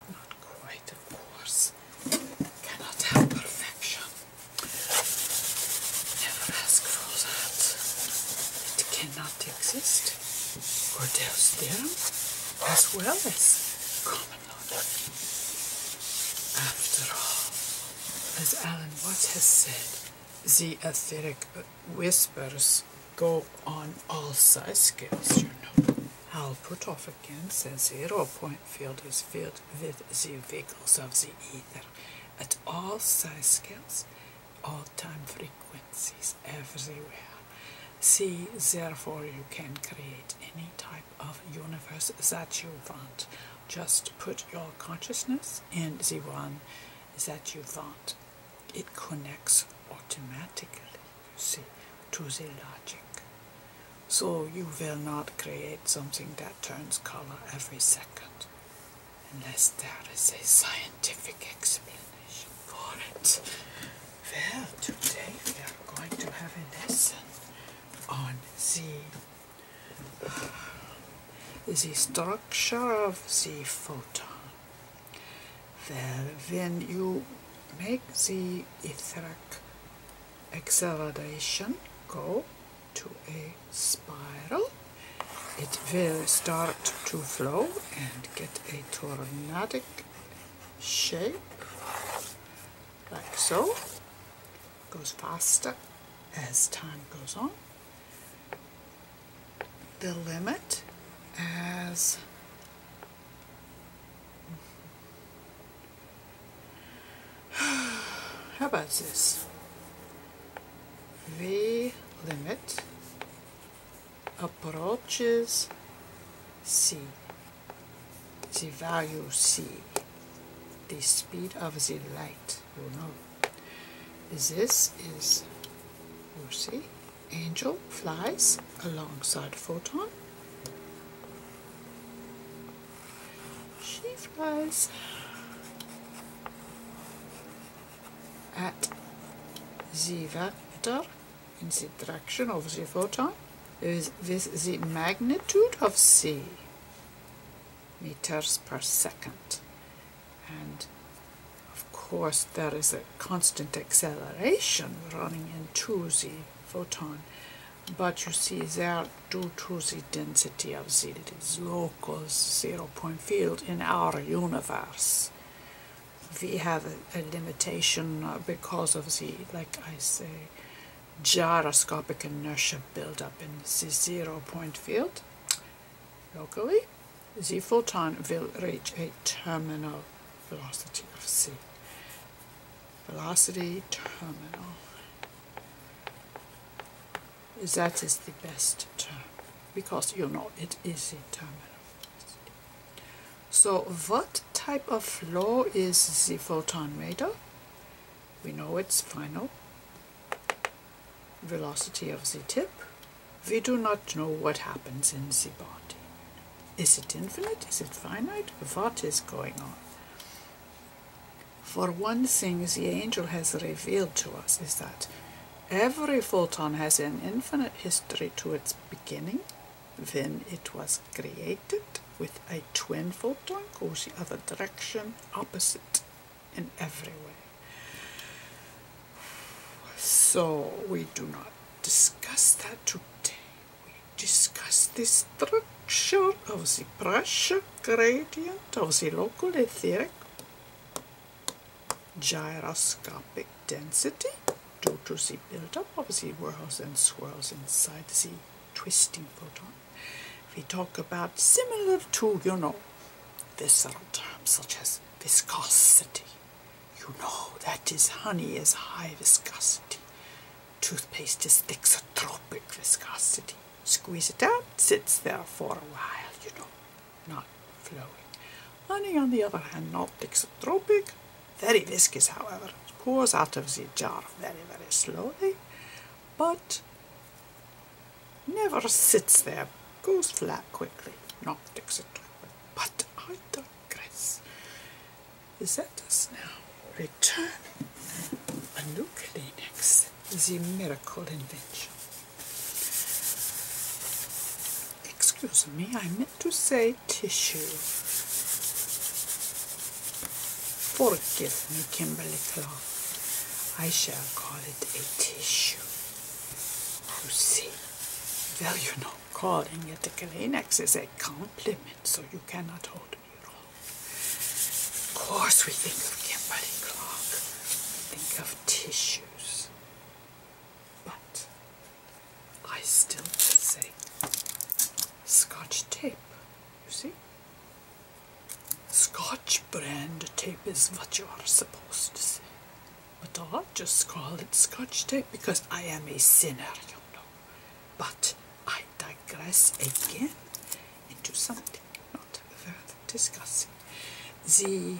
Not quite, of course. Cannot have perfection. Never ask for that. It cannot exist. Or Cordell's theorem, as well as common law After all, as Alan Watts has said, the aesthetic whispers go on all size scales, you know. I'll put off again the zero point field is filled with the vehicles of the ether at all size scales, all time frequencies, everywhere. See, therefore, you can create any type of universe that you want. Just put your consciousness in the one that you want it connects automatically, you see, to the logic. So you will not create something that turns color every second unless there is a scientific explanation for it. Well, today we are going to have a lesson on the, uh, the structure of the photon well, when you make the etheric acceleration go to a spiral, it will start to flow and get a tornadic shape, like so. Goes faster as time goes on. The limit as How about this? V limit approaches C, the value C, the speed of the light, you know. This is, you see, Angel flies alongside Photon. She flies at the vector in the direction of the photon with the magnitude of c meters per second of course, there is a constant acceleration running into the photon, but you see there due to the density of the local zero-point field in our universe. We have a, a limitation uh, because of the, like I say, gyroscopic inertia buildup in the zero-point field locally the photon will reach a terminal velocity of c. Velocity terminal. That is the best term because you know it is a terminal. So what type of flow is the photon made of? We know its final velocity of the tip we do not know what happens in the body. Is it infinite? Is it finite? What is going on? For one thing, the angel has revealed to us is that every photon has an infinite history to its beginning Then it was created with a twin photon goes the other direction, opposite in every way. So we do not discuss that today. We discuss the structure of the pressure gradient of the local etheric gyroscopic density due to the build-up of the whirls and swirls inside the twisting photon. We talk about similar to, you know, visceral terms such as viscosity, you know that honey is high viscosity. Toothpaste is thixotropic viscosity. Squeeze it out, sits there for a while, you know, not flowing. Honey, on the other hand, not thixotropic, very viscous, however. pours out of the jar very, very slowly, but never sits there. Goes flat quickly, not thixotropic. But I don't grace. Is that us now return a new Kleenex is a miracle invention. Excuse me, I meant to say tissue. Forgive me, Kimberly Clark. I shall call it a tissue. Lucy, see, you know calling it a Kleenex is a compliment, so you cannot hold me wrong. Of course, we think of Kimberly Clark, we think of tissues, but I still would say Scotch tape. You see, Scotch brand tape is what you are supposed to say. But I'll just call it scotch tape because I am a sinner, you know. But I digress again into something not worth discussing. The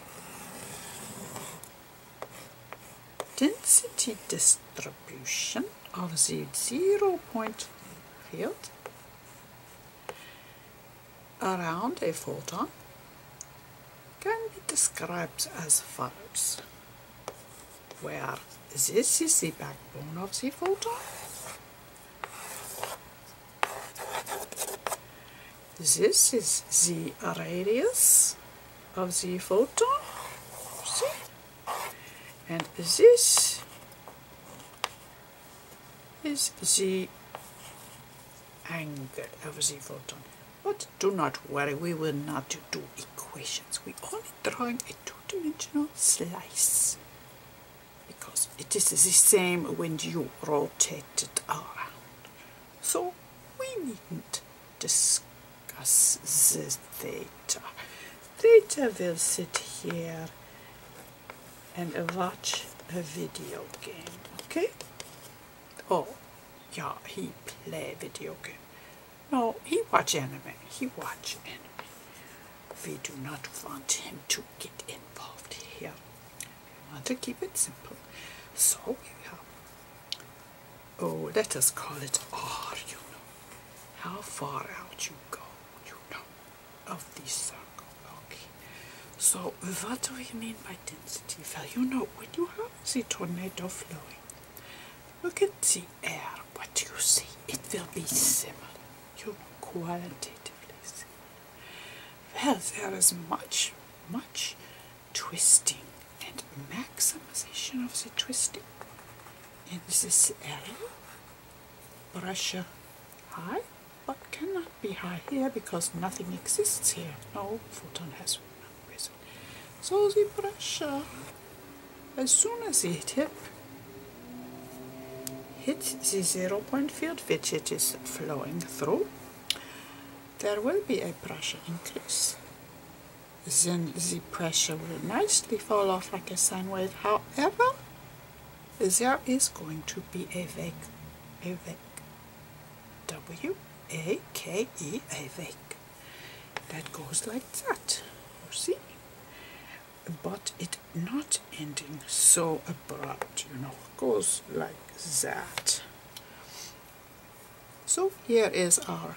density distribution of the zero point field around a photon can be described as follows, where this is the backbone of the photo, this is the radius of the photo, and this is the angle of the photon. But do not worry, we will not do equations. We only drawing a two-dimensional slice because it is the same when you rotate it around. So we needn't discuss the theta. Theta will sit here and watch a video game, okay? Oh, yeah, he play video game. No, he watch anime. He watch anime. We do not want him to get involved here. We want to keep it simple. So we have, oh, let us call it R, you know. How far out you go, you know, of this circle. Okay. So what do we mean by density? Well, you know, when you have the tornado flowing? Look at the air, what you see. It will be similar. You qualitatively Well, there is much, much twisting and maximization of the twisting in this area. Pressure high, but cannot be high here because nothing exists here. No photon has so the pressure, as soon as the tip hits the zero point field which it is flowing through, there will be a pressure increase. Then the pressure will nicely fall off like a sine wave. However, there is going to be a vac a vac W A K E awake. That goes like that. You see? But it not ending so abrupt, you know, goes like that. So here is our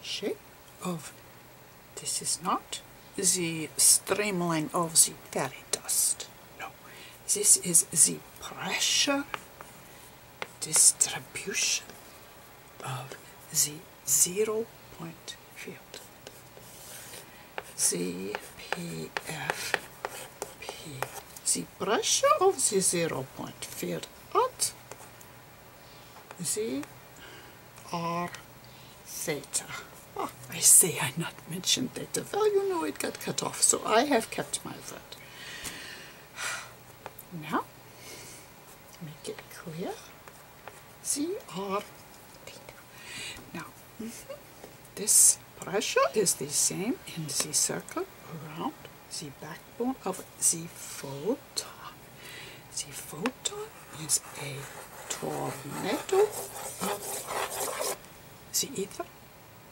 shape of this is not the streamline of the fairy dust. No, this is the pressure distribution of the zero point field. ZPF the pressure of the zero point field at Zr theta. Oh, I say I not mentioned theta. Well, you know it got cut off, so I have kept my word. Now, make it clear. CR. Uh, now, mm-hmm, this pressure is the same in the circle around the backbone of the photon. The photon is a tornado of the ether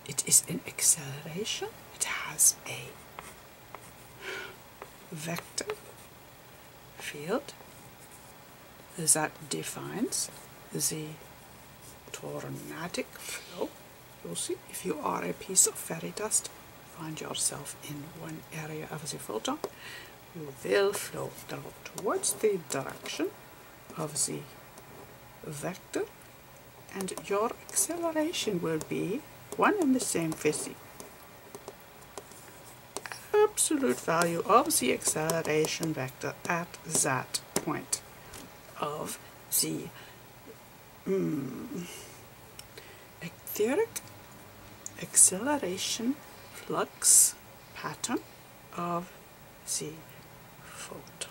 it is an acceleration, it has a vector field that defines the tornadic flow. You'll see if you are a piece of fairy dust, find yourself in one area of the photon, you will flow towards the direction of the vector and your acceleration will be one and the same physics. Absolute value of the acceleration vector at that point of the mm, acceleration flux pattern of the photon.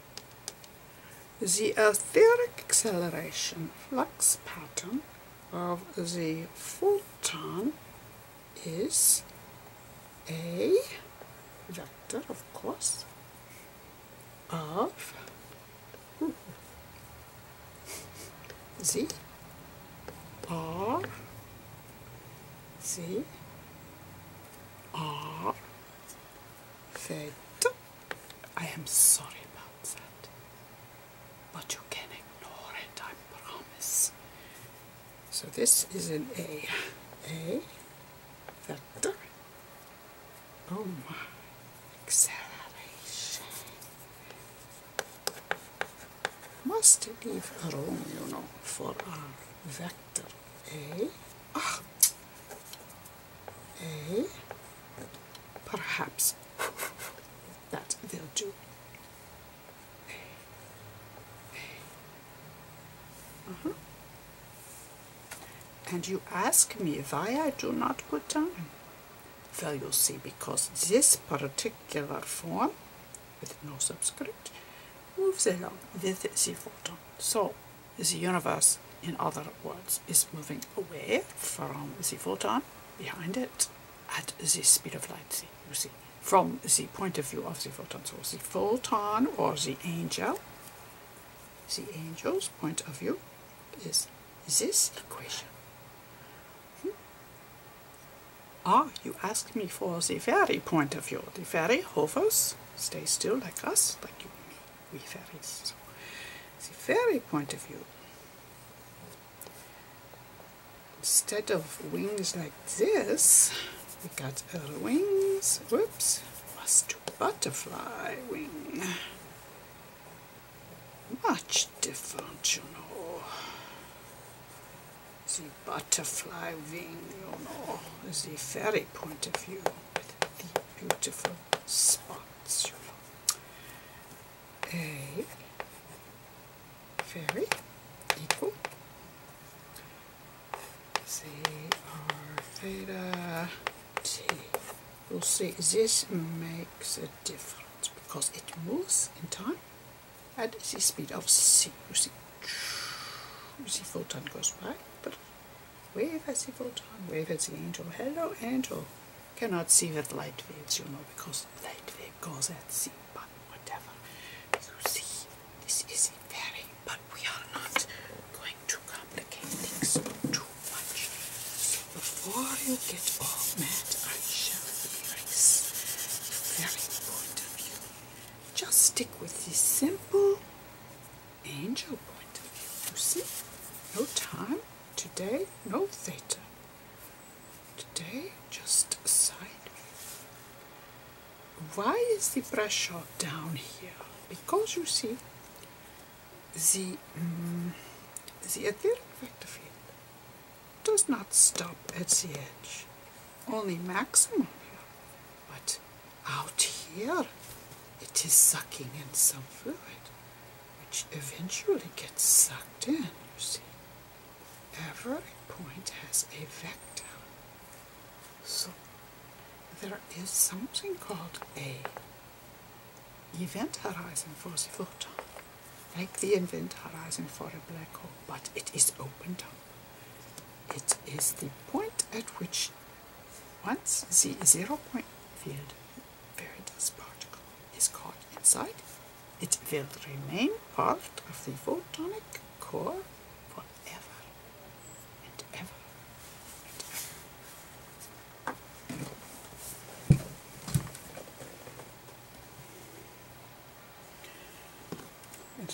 The etheric acceleration flux pattern of the photon is a vector, of course, of the R, theta I am sorry about that. But you can ignore it, I promise. So this is an A. A vector. Oh my. Acceleration. Must leave room, you know, for our vector A. Ah, Eh? perhaps that they'll do. Uh-huh. And you ask me why I do not put down. Well, you see, because this particular form with no subscript moves along with the water. So the universe, in other words, is moving away from the photon behind it at the speed of light, from the point of view of the photon. So the photon or the angel, the angel's point of view is this equation. Hmm? Ah, you ask me for the very point of view. The very hovers, stay still like us, like you and me we fairies. the fairy point of view, instead of wings like this, we got other wings. Whoops, Must to butterfly wing. Much different, you know. The butterfly wing, you know, the fairy point of view the beautiful sponsor a very equal C R theta T. We'll see this makes a difference because it moves in time at the speed of C. You see, you see photon goes by, but Wave has you go down, wave has the angel. Hello, angel. Cannot see with light waves, you know, because light wave goes at sea, but whatever. You see, this is a very, but we are not going to complicate things too much. before you get all mad, I shall erase very important. Just stick with this simple angel point of view. You see, no time today, no theta. Today, just side Why is the pressure down here? Because you see, the, um, the etheric vector field does not stop at the edge, only maximum here. But out here, it is sucking in some fluid, which eventually gets sucked in, you see. Every point has a vector. So there is something called a event horizon for the photon, like the event horizon for a black hole, but it is opened up. It is the point at which once the zero-point field Veritas particle is caught inside, it will remain part of the photonic core forever and ever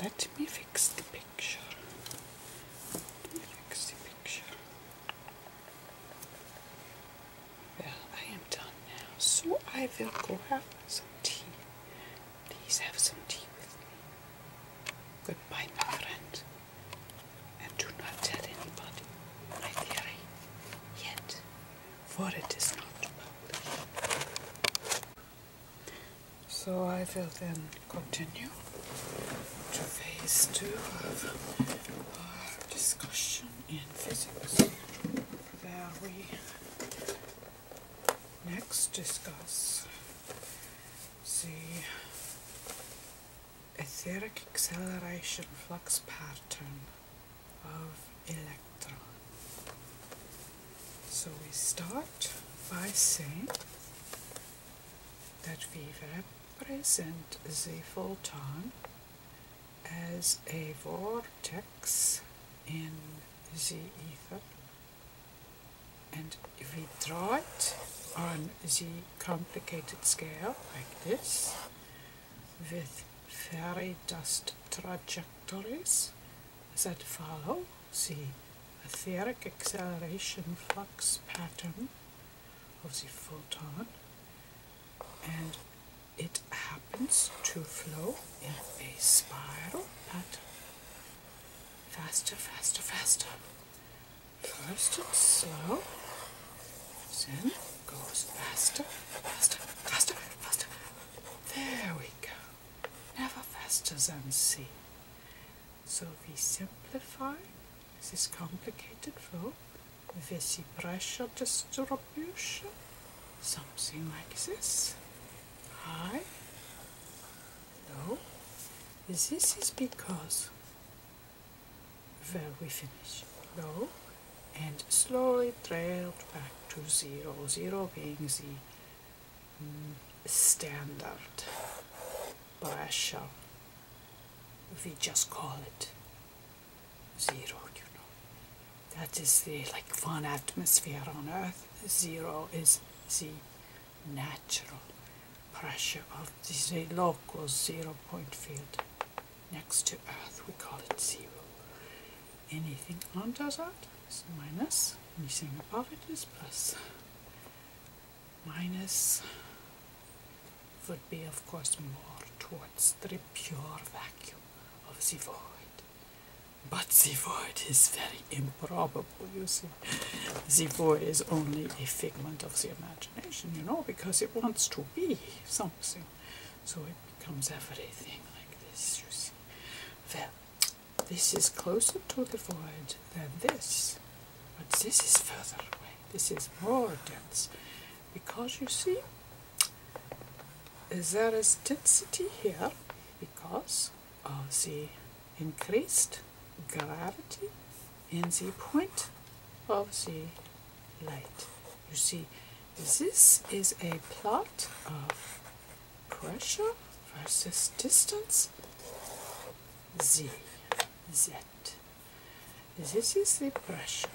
Let me fix the picture. Let me fix the picture. Well, I am done now, so I will go have some tea. Please have some tea with me. Goodbye, my friend. And do not tell anybody my theory yet, for it is not published. So I will then continue to phase two of discussion in physics, where we next discuss the etheric acceleration flux pattern of electron. So we start by saying that we have present the photon as a vortex in the ether and we draw it on the complicated scale like this with fairy dust trajectories that follow the etheric acceleration flux pattern of the photon and it happens to flow in a spiral pattern faster, faster, faster. First it's slow, then goes faster, faster, faster, faster. There we go. Never faster than C. So we simplify this complicated flow. with the pressure distribution, something like this. High, low. This is because where we finish low and slowly trailed back to zero. Zero being the mm, standard pressure we just call it zero you know that is the like one atmosphere on earth zero is the natural pressure of the local zero point field next to earth we call it zero anything under that is minus anything above it is plus minus would be of course more towards the pure vacuum of the void. But the void is very improbable, you see. The void is only a figment of the imagination, you know, because it wants to be something. So it becomes everything like this, you see. Well, this is closer to the void than this. But this is further away. This is more dense. Because you see, there is density here because of the increased gravity in the point of the light. You see, this is a plot of pressure versus distance Z, Z. This is the pressure,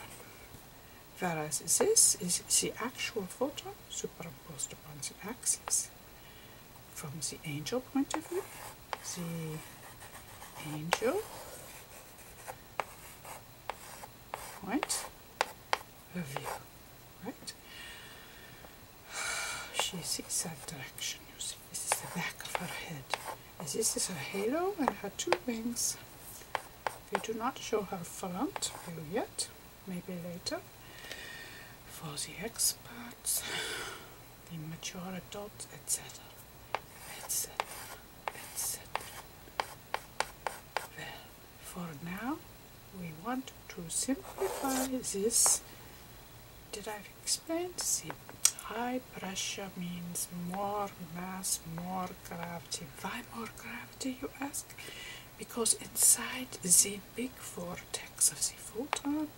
whereas this is the actual photo superimposed upon the axis. From the angel point of view, the angel point of view, right? She sees that direction, you see. This is the back of her head. And this is her halo and her two wings. We do not show her front view yet, maybe later. For the experts, the mature adults, etc. etc. etc. Well, for now, we want to simplify this. Did I expensive. High pressure means more mass, more gravity. Why more gravity, you ask? Because inside the big vortex of the photon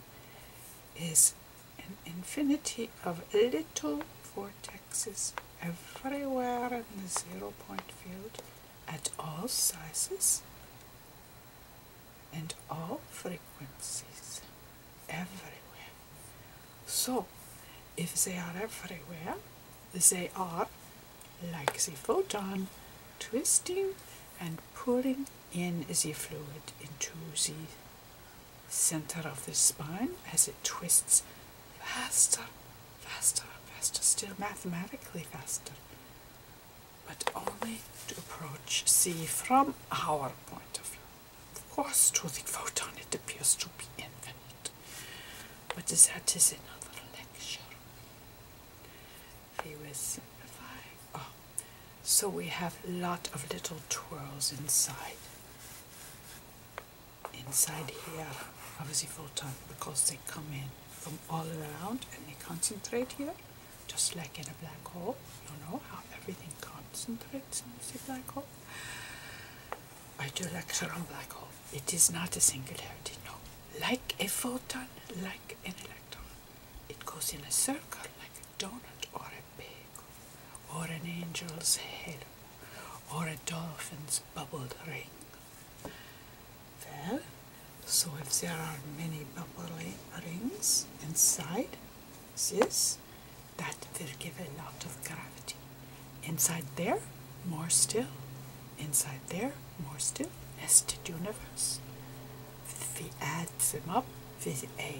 is an infinity of little vortexes everywhere in the zero point field at all sizes and all frequencies everywhere. So, if they are everywhere, they are, like the photon, twisting and pulling in the fluid into the center of the spine as it twists faster, faster, faster, still mathematically faster, but only to approach C from our point of view. Of course, to the photon it appears to be infinite. But that is another lecture. I will simplify. Oh, so we have a lot of little twirls inside. Inside here of the photon because they come in from all around and they concentrate here just like in a black hole. You know how everything concentrates in a black hole. I do like on black hole. It is not a singularity, no. Like a photon, like an electron. It goes in a circle like a donut or a pig, or an angel's halo, or a dolphin's bubbled ring. Well, so if there are many bubbly rings inside this, that will give a lot of gravity. Inside there, more still. Inside there, more still. Nested universe. If we add them up with a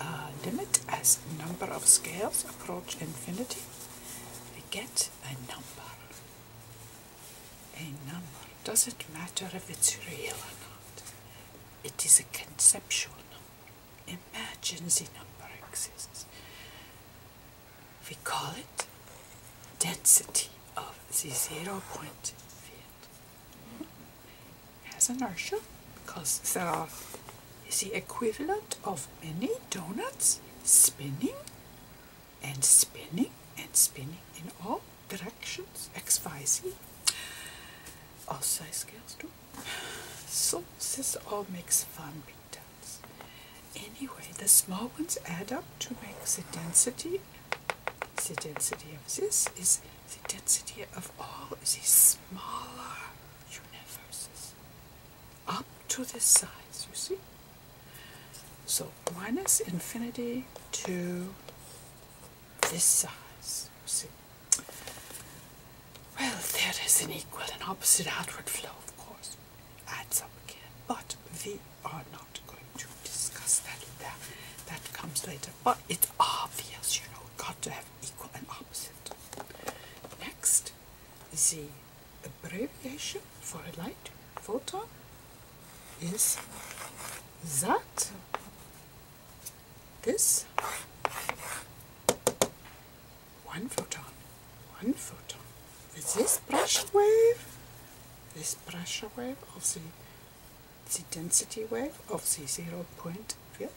uh, limit as number of scales approach infinity, we get a number. A number. Doesn't matter if it's real or not. It is a conceptual number. Imagine the number exists. We call it density of the zero point field. It has inertia because zero is the equivalent of many donuts spinning and spinning and spinning in all directions XYZ. All size scales too. So this all makes fun big tents. Anyway, the small ones add up to make the density. The density of this is the density of all these smaller universes up to this size, you see? So minus infinity to this size. Well, there is an equal and opposite outward flow, of course. Adds up again, but we are not going to discuss that. That, that comes later. But it's obvious, you know, got to have equal and opposite. Next, the abbreviation for a light photon is that this, one photon, one photon. With this pressure wave, this pressure wave of the density wave of the zero point field,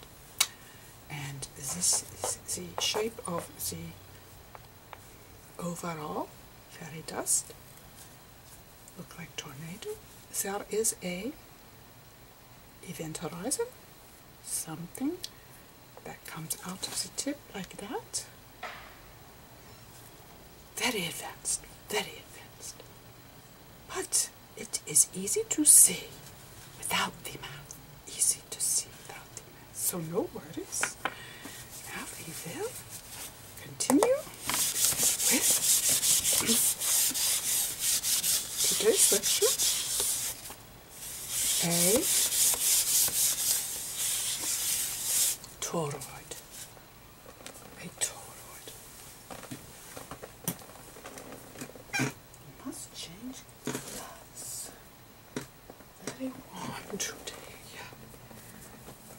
and this is the shape of the overall fairy dust look like tornado. There is a event horizon, something that comes out of the tip like that. Very advanced, very advanced. But it is easy to see without the mouth. Easy to see without the mouth. So no worries. Now we will continue today's workshop a toroid. A toroid. You must change glass. Very warm today. Yeah.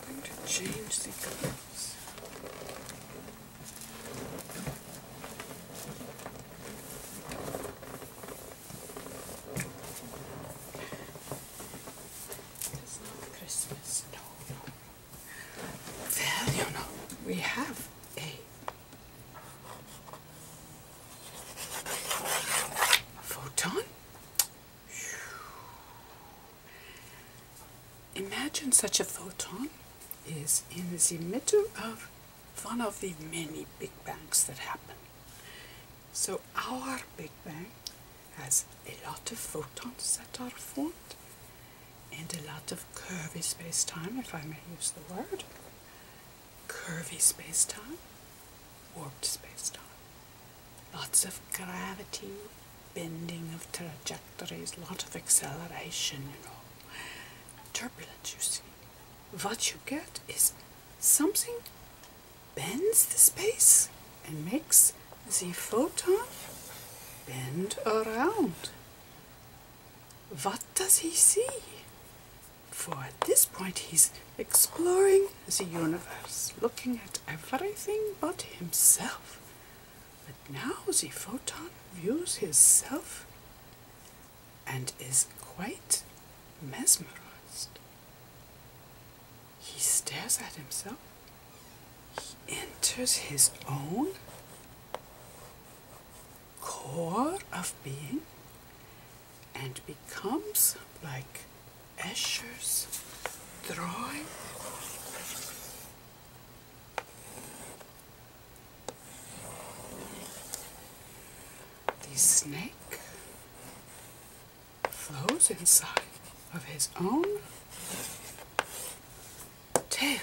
I'm going to change the glass. It's not Christmas, no, no. Well, you we have a photon. Imagine such a photon is in the middle of one of the many Big Bangs that happen. So our Big Bang has a lot of photons that are formed and a lot of curvy space-time, if I may use the word. Curvy space-time, warped space-time. Lots of gravity, bending of trajectories, lot of acceleration, you know, turbulence, you see. What you get is something bends the space and makes the photon bend around. What does he see? For at this point he's exploring the universe, looking at everything but himself. But now the photon views himself and is quite mesmerized. He stares at himself, he enters his own core of being and becomes like Escher's drawing the snake flows inside of his own tail.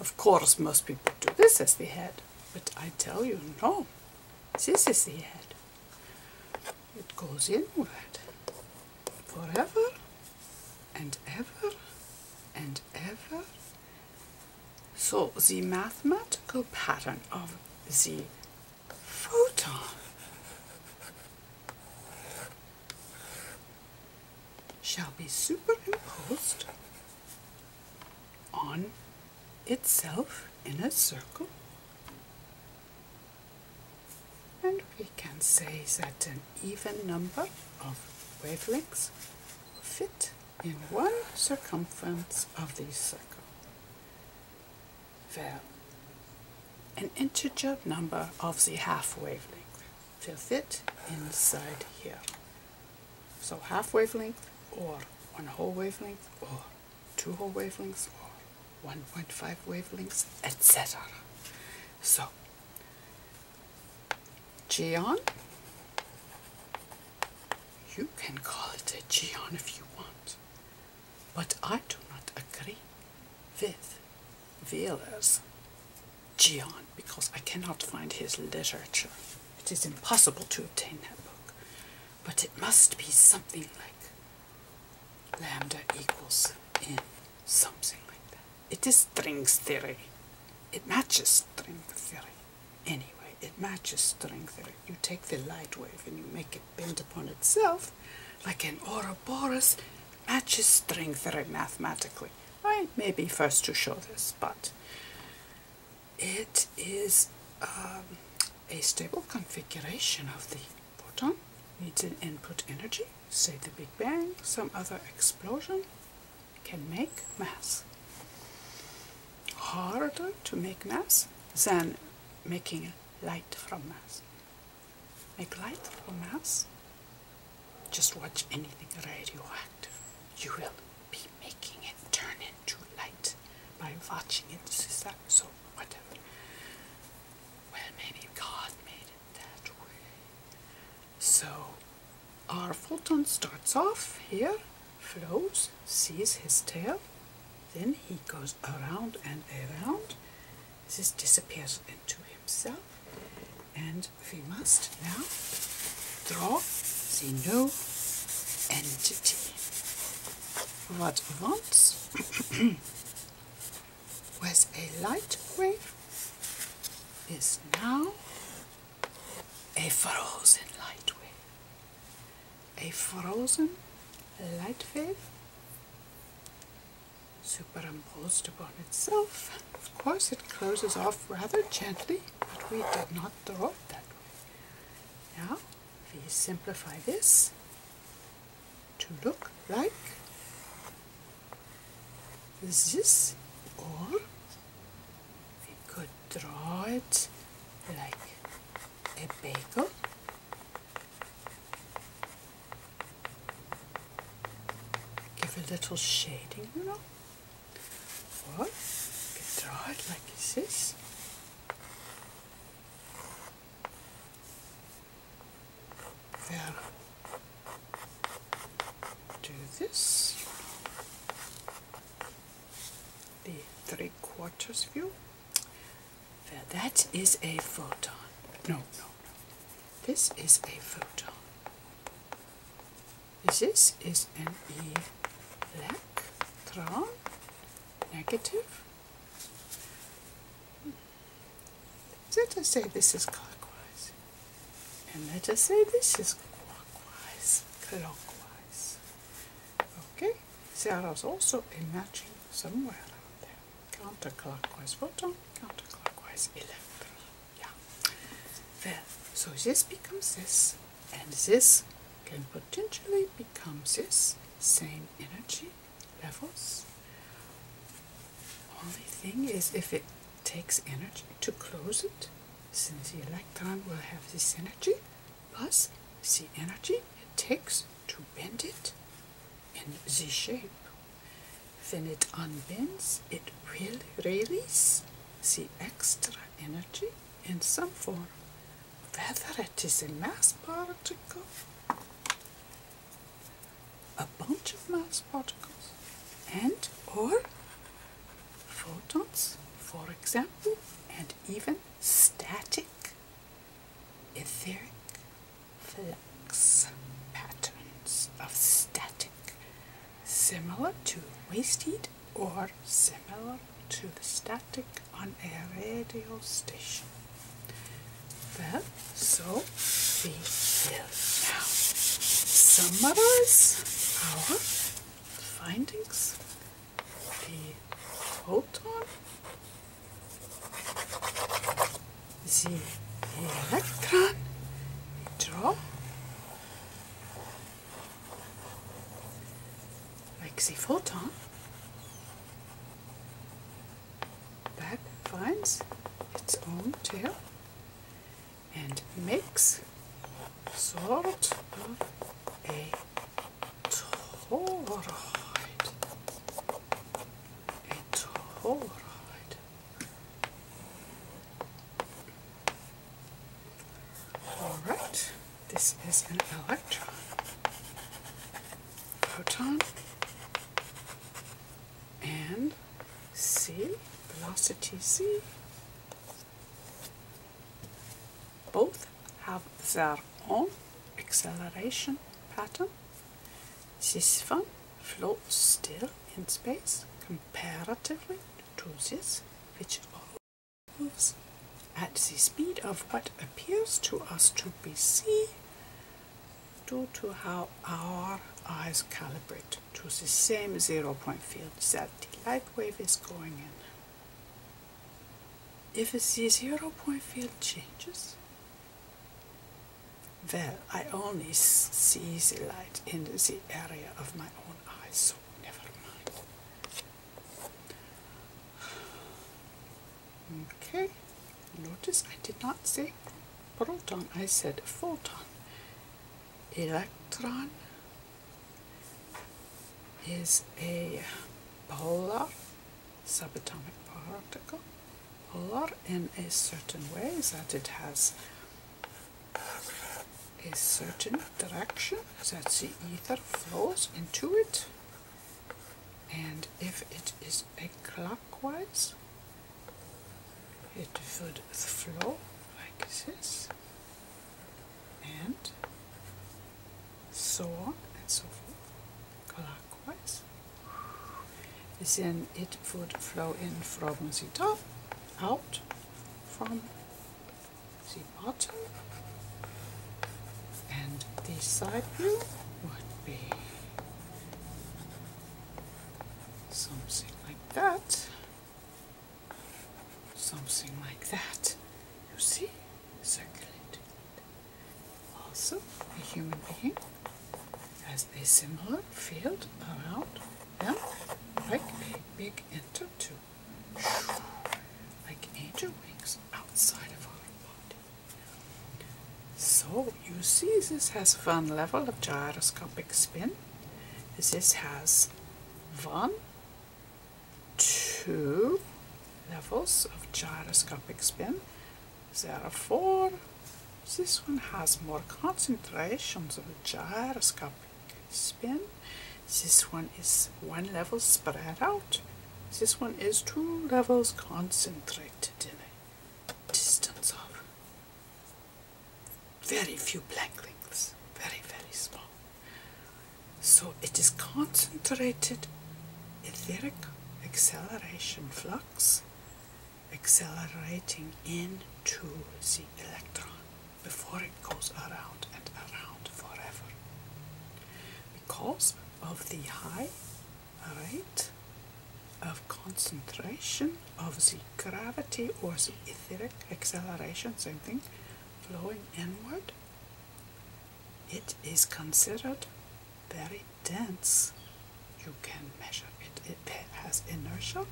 of course, most people do this as the head, but I tell you, no, this is the head it goes inward forever and ever and ever. So the mathematical pattern of the photon shall be superimposed on itself in a circle and we can say that an even number of wavelengths fit in one circumference of the circle. Well, an integer number of the half wavelength will fit inside here. So half wavelength or one whole wavelength or 2 whole wavelengths or 1.5 wavelengths, etc. So, Gion. you can call it a Gion if you want, but I do not agree with Wheeler's Gion because I cannot find his literature. It is impossible to obtain that book, but it must be something like lambda equals n, something like that. It is string theory. It matches string theory. Anyway, it matches string theory. You take the light wave and you make it bend upon itself like an Ouroboros matches string theory mathematically. I may be first to show this, but it is um, a stable configuration of the Photon needs an input energy, say the Big Bang, some other explosion can make mass. Harder to make mass than making light from mass. Make light from mass? Just watch anything radioactive. You will be making it turn into light by watching it. This so whatever. Well, maybe God made it that way. So, our photon starts off here, flows, sees his tail, then he goes around and around. This disappears into himself, and we must now draw the new entity. What wants? was a light wave is now a frozen light wave. A frozen light wave superimposed upon itself. Of course it closes off rather gently, but we did not draw it that way. Now we simplify this to look like this or we could draw it like a bagel give a little shading you know What? we could draw it like this and do this the three quarters view well, that is a photon no no no this is a photon this is an electron negative let us say this is clockwise. And let us say this is clockwise, clockwise. Okay, I was also imagining somewhere around there. Counterclockwise photon, counterclockwise Eleven. Yeah. Well, so this becomes this, and this can potentially become this same energy levels. Only thing is if it takes energy to close it, since the electron will have this energy, plus the energy it takes to bend it in the shape. When it unbends, it will release the extra energy in some form, whether it is a mass particle a bunch of mass particles and or photons, for example, and even static etheric flux patterns of static, similar to waste heat or similar to the static on a radio station. Well, so we will now summarize our findings. The proton, the electron, we draw like the photon that finds its own tail and makes sort of a toroid. A Alright, this is an electron proton and C, velocity C. Both have their own acceleration pattern. This one floats still in space comparatively to this which moves at the speed of what appears to us to be c due to how our eyes calibrate to the same zero point field that the light wave is going in. If the zero point field changes, well, I only see the light in the area of my own eyes, so never mind. Okay, notice I did not say proton, I said photon. Electron is a polar, subatomic particle, polar in a certain way that it has a certain direction that the ether flows into it and if it is a clockwise it would flow like this and so on and so forth clockwise then it would flow in from the top out from the bottom and the side view would be something like that, something like that. You see, circulating. Also, a human being has a similar field around them, like big enter tube, like angel wings outside of our body. So you see this has one level of gyroscopic spin. This has one, two levels of gyroscopic spin. There are four. this one has more concentrations of gyroscopic spin. This one is one level spread out. This one is two levels concentrated in a distance of very few blank links, very, very small. So it is concentrated etheric acceleration flux accelerating into the electron before it goes around and around forever. Because of the high Alright? Of concentration of the gravity or the etheric acceleration, same thing, flowing inward. It is considered very dense. You can measure it. It has inertia,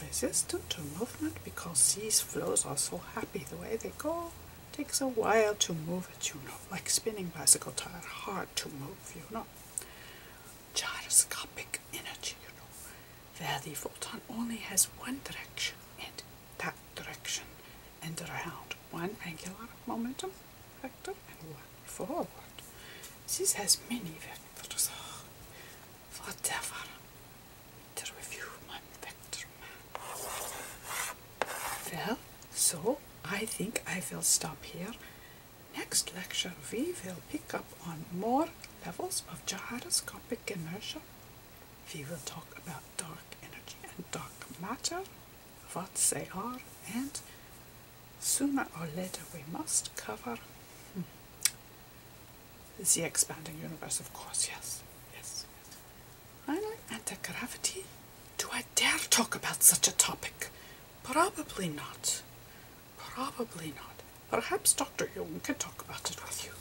resistant to movement because these flows are so happy the way they go. Takes a while to move it, you know. Like spinning bicycle tire, hard to move, you know. Gyroscopic energy, you know. Where the photon only has one direction and that direction and around one angular momentum vector and one forward. This has many vectors. whatever. Vector review, my vector well so I think I will stop here next lecture we will pick up on more levels of gyroscopic inertia we will talk about dark energy and dark matter what they are and sooner or later we must cover hmm, the expanding universe of course yes, yes. Finally, anti-gravity? Do I dare talk about such a topic? Probably not. Probably not. Perhaps Dr. Jung can talk about it with you.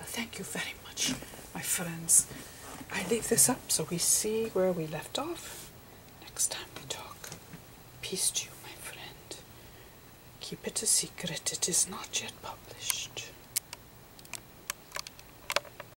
Uh, thank you very much, my friends. I leave this up so we see where we left off. Next time we talk. Peace to you, my friend. Keep it a secret. It is not yet published.